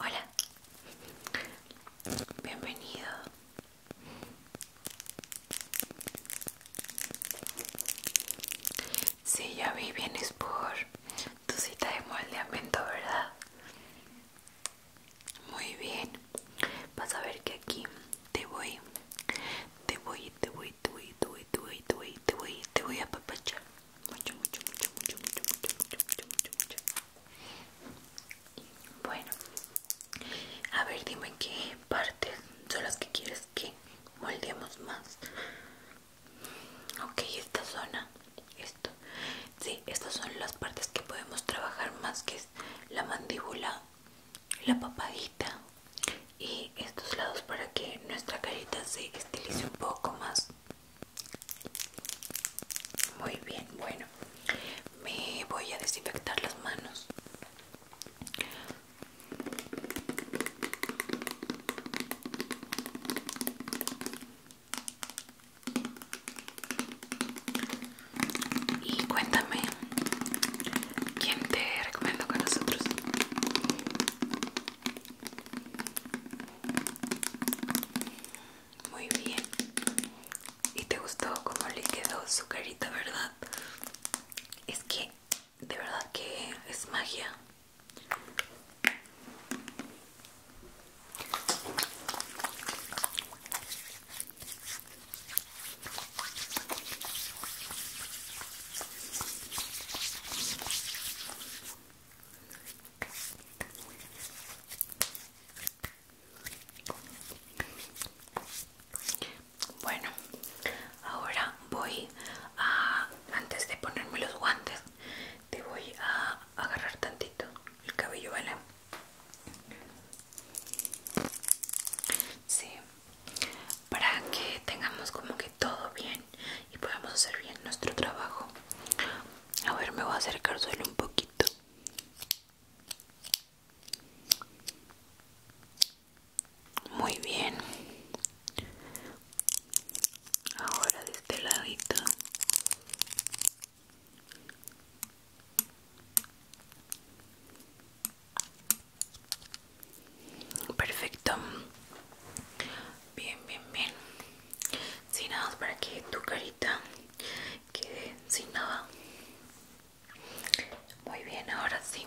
Hola, bienvenido. Si, ya vi, vienes por tu cita de moldeamiento, ¿verdad? Muy bien, vas a ver que aquí te voy, te voy, te voy, te voy, te voy, te voy, te voy, a papachar. Mucho, mucho, mucho, mucho, mucho, mucho, mucho, mucho, mucho. Bueno, a ver, dime qué partes son las que quieres que moldeemos más. Ok, esta zona, esto. Sí, estas son las partes que podemos trabajar más, que es la mandíbula, la papadita, y estos lados para que nuestra carita se estilice un poco más muy bien bueno me voy a desinfectar las manos y cuéntame quién te recomiendo con nosotros muy bien. Y te gustó cómo le quedó su carita, ¿verdad? Es que de verdad que es magia. Bueno, ahora voy a, antes de ponerme los guantes, te voy a agarrar tantito el cabello, ¿vale? Sí, para que tengamos como que todo bien y podamos hacer bien nuestro trabajo. A ver, me voy a acercar solo un poquito. Muy bien. Ahora de este ladito. Perfecto. Bien, bien, bien. Sin nada para que tu carita quede sin nada. Muy bien, ahora sí.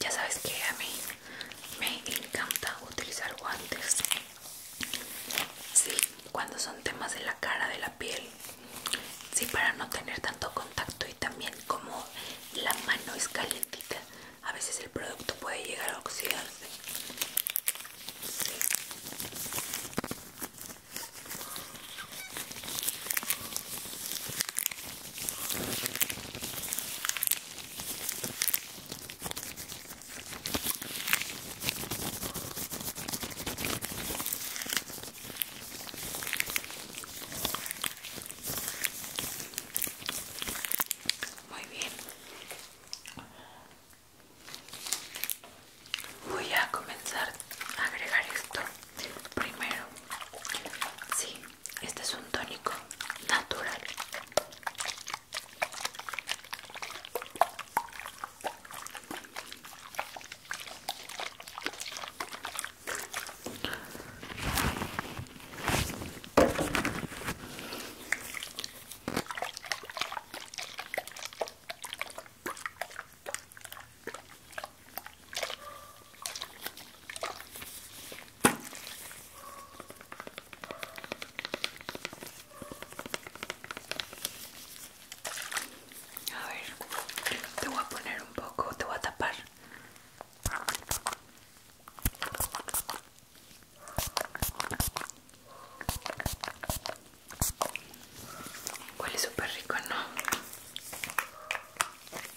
Ya sabes que a mí me encanta utilizar guantes. Sí, cuando son temas de la cara, de la piel. Sí, para no tener tanto contacto y también como la mano es calientita, a veces el producto puede llegar a oxidarse. Muy bien. Voy a comenzar a agregar esto. Primero, sí, este es un tónico natural. A ver, te voy a poner un poco, te voy a tapar. Huele súper rico, ¿no?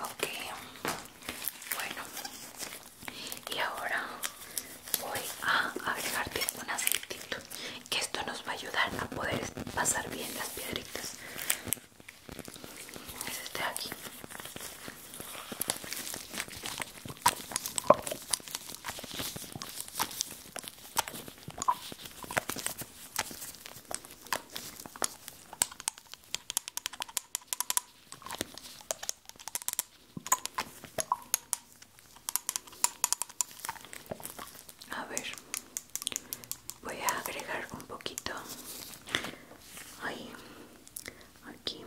Ok, bueno, y ahora voy a agregarte un aceitito, que esto nos va a ayudar a poder pasar bien las piedritas. Es este de aquí. A ver, voy a agregar un poquito ahí, aquí,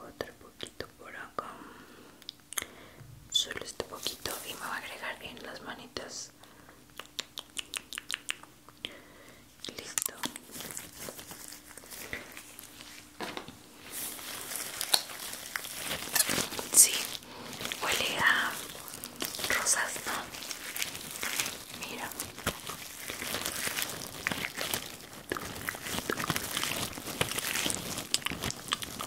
otro poquito por acá solo este poquito y me va a agregar bien las manitas listo sí huele a rosas no mira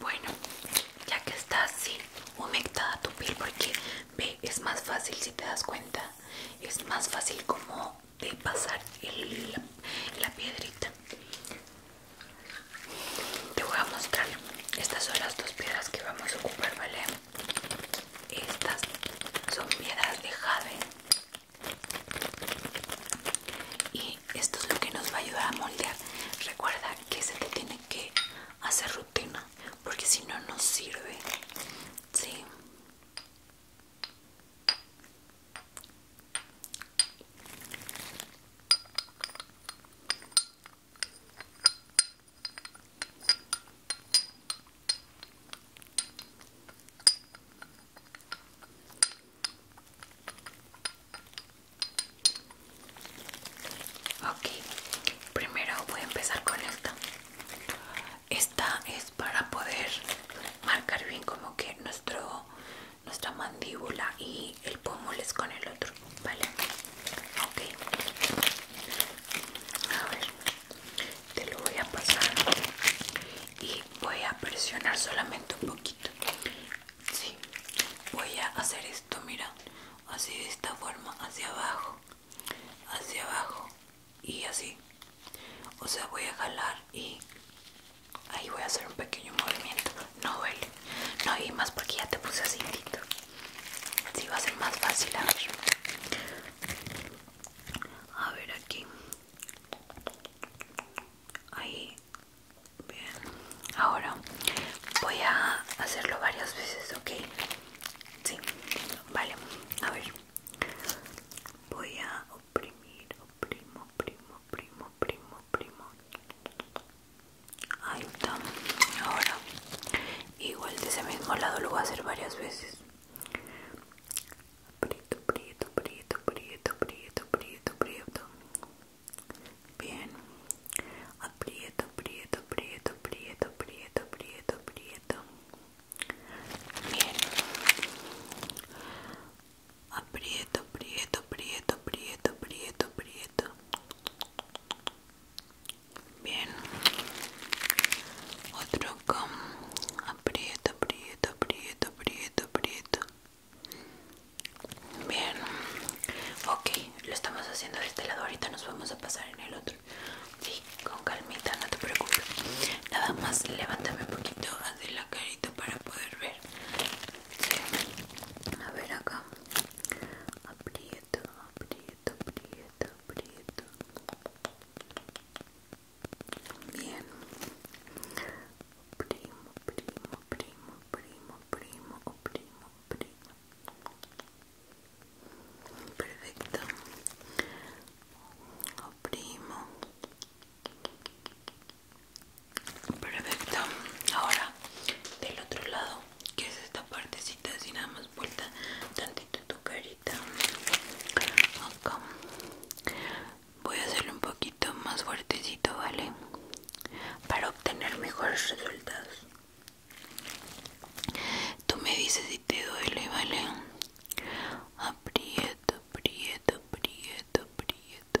Bueno, ya que está así humectada tu piel, porque ve, es más fácil si te das cuenta, es más fácil como de pasar la piedrita. Te voy a mostrar, estas son las dos piedras que vamos a ocupar, ¿vale? Estas son piedras de jade. Y esto es lo que nos va a ayudar a moldear. Recuerda que se te tiene que hacer rutina, porque si no, no sirve. Sí. Ok, primero voy a empezar con esta. Esta es para poder marcar bien como que nuestro, nuestra mandíbula y el pómulo es con el otro vale ok a ver te lo voy a pasar y voy a presionar solamente un poquito sí voy a hacer esto mira así de esta forma hacia abajo hacia abajo y así o sea voy a jalar y ahí voy a hacer un pequeño movimiento no duele no y más porque ya te puse así si va a ser más fácil a ver a ver aquí ahí bien ahora voy a hacerlo varias veces ok sí vale a ver voy a oprimir oprimo primo primo primo primo ahí está ahora igual de ese mismo lado lo voy a hacer varias veces prieto prieto prieto prieto prieto prieto prieto bien aprieto prieto prieto prieto prieto prieto prieto bien aprieto prieto prieto prieto prieto prieto Bien. Otro acá. Aprieta, aprieta, aprieta, aprieta, aprieta. Bien. Ok, lo estamos haciendo de este lado. Ahorita nos vamos a pasar en el otro. Sí, con calmita, no te preocupes. Nada más levántame un poquito de la carita para poder ver. A ver acá. aprieto Aprieto, prieto, aprieto, Bien. Primo, primo, primo, primo, primo, o primo, primo. Perfecto. primo. Perfecto. Ahora, del otro lado que es esta partecita así nada más vuelta tantito tu carita voy a hacerlo un poquito más fuertecito vale para obtener mejores resultados tú me dices si te duele vale aprieto aprieto aprieto aprieto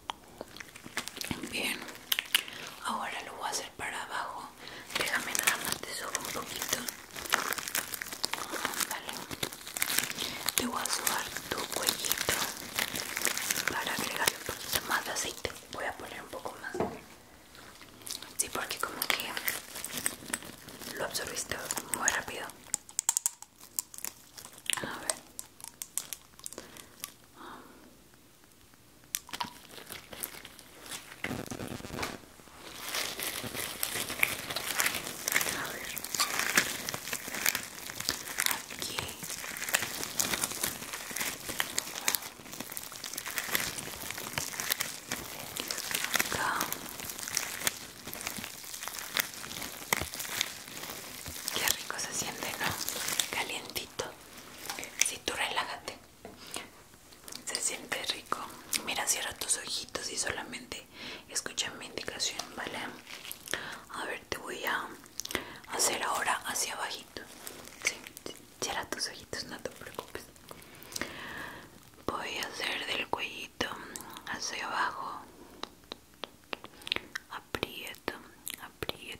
Bien, ahora lo voy a hacer para abajo. Déjame nada más, te subo un poquito. Te voy a subar tu cuellito para agregarle un poquito más de aceite. Voy a poner un poco más. Sí, porque como que lo absorbiste muy rápido. A ver. A ver. Aquí. Qué rico se siente, ¿no? Calientito. Si tú relájate. Se siente rico. Mira, cierra tus ojitos y solamente escucha mi indicación, ¿vale? A ver, te voy a hacer ahora hacia abajito. Sí, cierra tus ojitos, no te preocupes. Voy a hacer del cuellito hacia abajo. Aprieto, aprieto.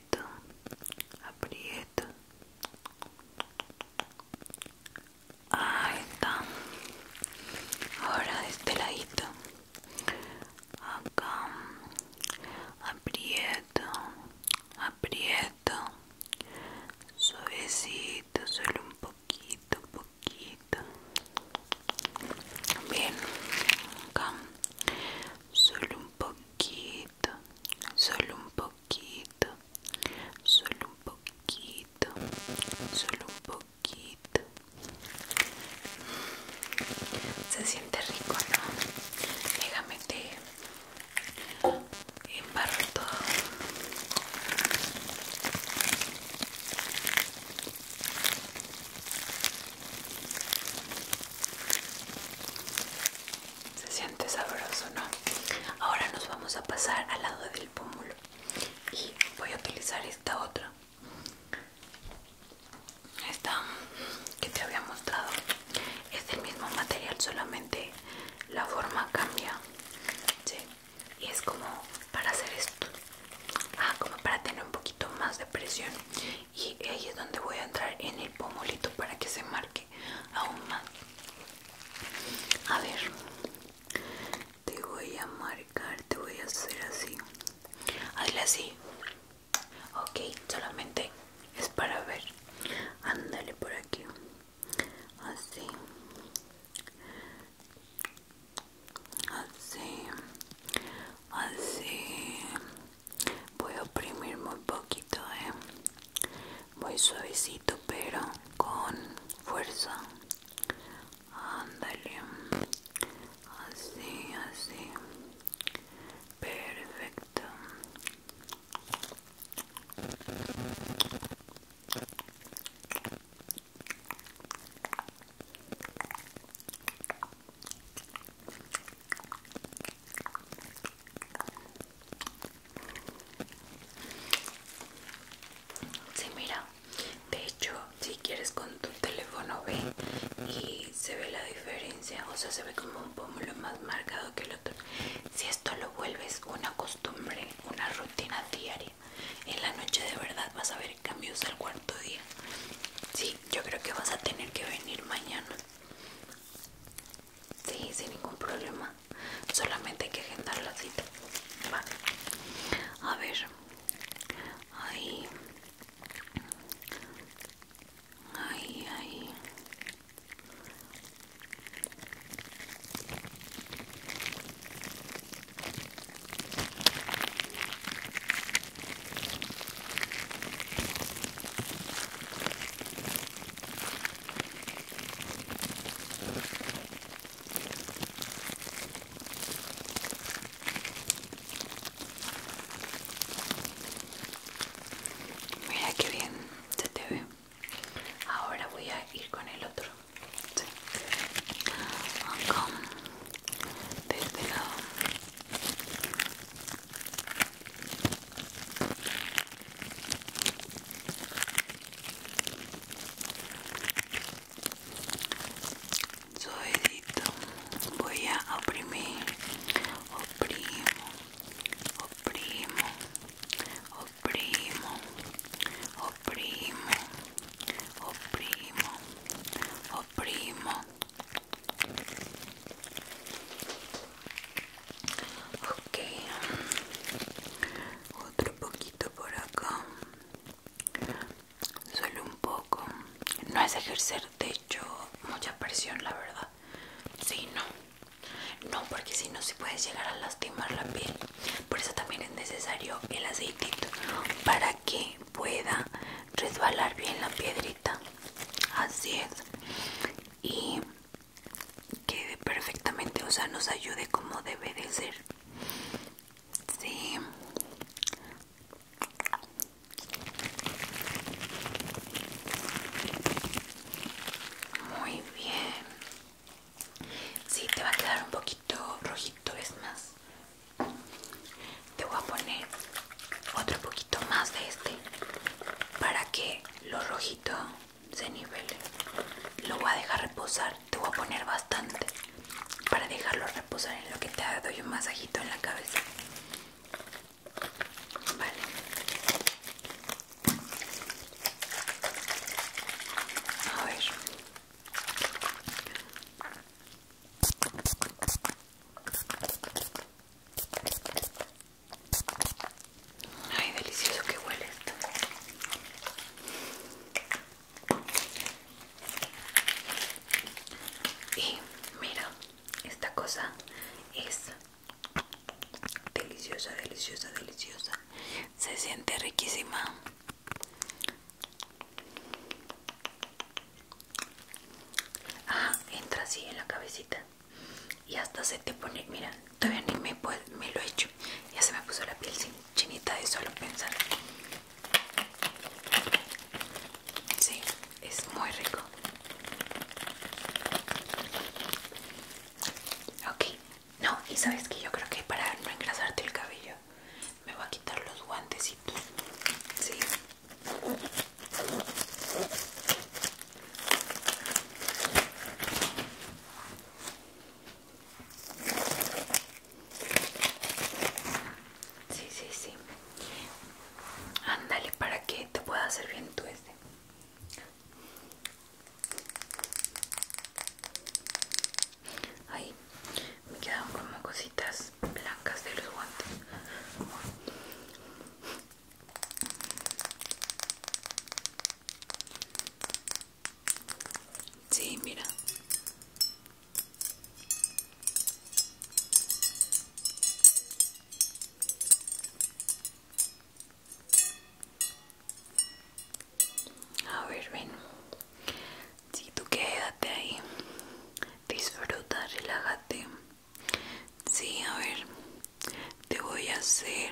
aprieto, aprieto. Ahí está. Ahora de este ladito. Acá. Aprieto, aprieto. Suavecito, solo un poquito, un poquito. Bien. Acá. Solo un poquito, solo un poquito poquito, solo un poquito, solo un poquito. Se siente rico, ¿no? Déjame te embarro todo. Se siente sabroso, ¿no? Ahora nos vamos a pasar al lado del pómulo y voy a utilizar esta otra. Esta que te había mostrado es del mismo material, solamente la forma cambia. Y es como para hacer esto. Ah, como para tener un poquito más de presión. Y ahí es donde voy a entrar en el pomolito para que se marque aún más a ver te voy a marcar te voy a hacer así hazle así ok solamente es para ver ándale por aquí así así así voy a oprimir muy poquito eh muy suavecito pero con fuerza ándale así así perfecto Sí, mira, de hecho, si quieres con tu teléfono ve y se ve la diferencia, o sea, se ve como un pómulo más marcado que el otro. Si esto lo vuelves una costumbre, una rutina diaria, en la noche de verdad vas a ver cambios al cuarto día. Sí, yo creo que vas a tener que venir mañana. Sí, sin ningún problema. Solamente hay que agendar la cita. A ver. Ahí. Ahí, ahí. Mira qué bien se te ve. Ahora voy a ir con el otro suavecito voy a oprimir oprimo oprimo oprimo oprimo oprimo oprimo oprimo ok otro poquito por acá solo un poco no es ejercer de hecho mucha presión la verdad si no no porque si no se puede llegar a lastimar la piel por eso también es necesario el aceitito para que pueda resbalar bien la piedrita así es y quede perfectamente, o sea, nos ayude como debe de ser. Sí. Muy bien. Sí, te va a quedar un poquito rojito, es más. Te voy a poner otro poquito más de este para que lo rojito se nivele lo voy a dejar reposar te voy a poner bastante para dejarlo reposar en lo que te doy un masajito en la cabeza vale a ver Ay, delicioso que huele esto. Y mira, esta cosa es deliciosa, deliciosa, deliciosa. Se siente riquísima. Ajá, entra así en la cabecita y hasta se te pone, mira, todavía ni me, me lo he hecho, ya se me puso la piel sin chinita de solo pensar. Sí, es muy rico. Ok, no, y sabes que yo creo que para no engrasarte el cabello me voy a quitar los guantecitos. Sí, Sí, sí, sí. Ándale para que te pueda hacer bien tu este. Ahí me quedaron como cositas blancas de los guantes. Sí, mira. A ver, ven. Si tú quédate ahí. Disfruta, relájate. Sí, a ver, te voy a hacer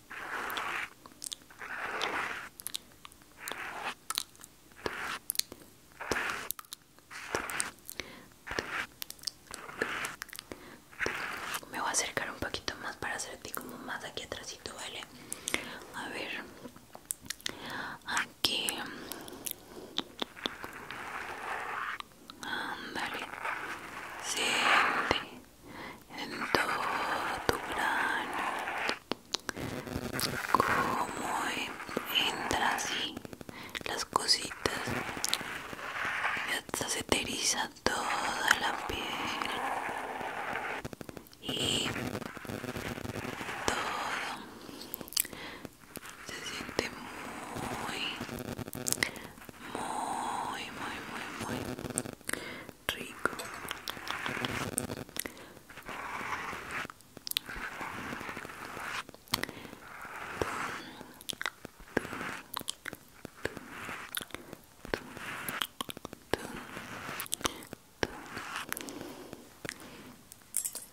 Me voy a acercar un poquito más para hacerte como más aquí atrásito, ¿vale? A ver. Aquí. andale Siente en todo tu plano como entra así las cositas y hasta se te toda la piel y todo se siente muy muy muy muy rico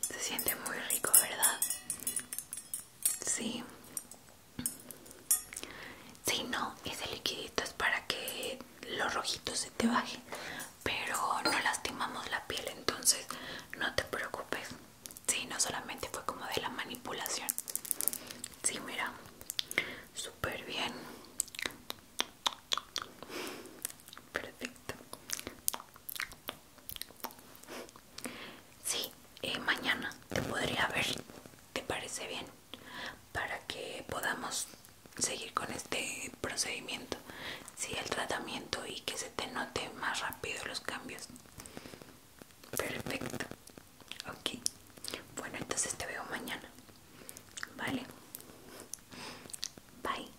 se siente muy rico, ¿verdad? Sí, si no, ese liquidito es para que los rojitos se te bajen, pero no lastimamos la piel, entonces no te preocupes. si no solamente fue como de la manipulación. Sí, mira, súper bien. Perfecto. Sí, eh, mañana te podría ver. ¿Te parece bien? para que podamos seguir con este procedimiento sí el tratamiento y que se te note más rápido los cambios perfecto ok bueno entonces te veo mañana vale bye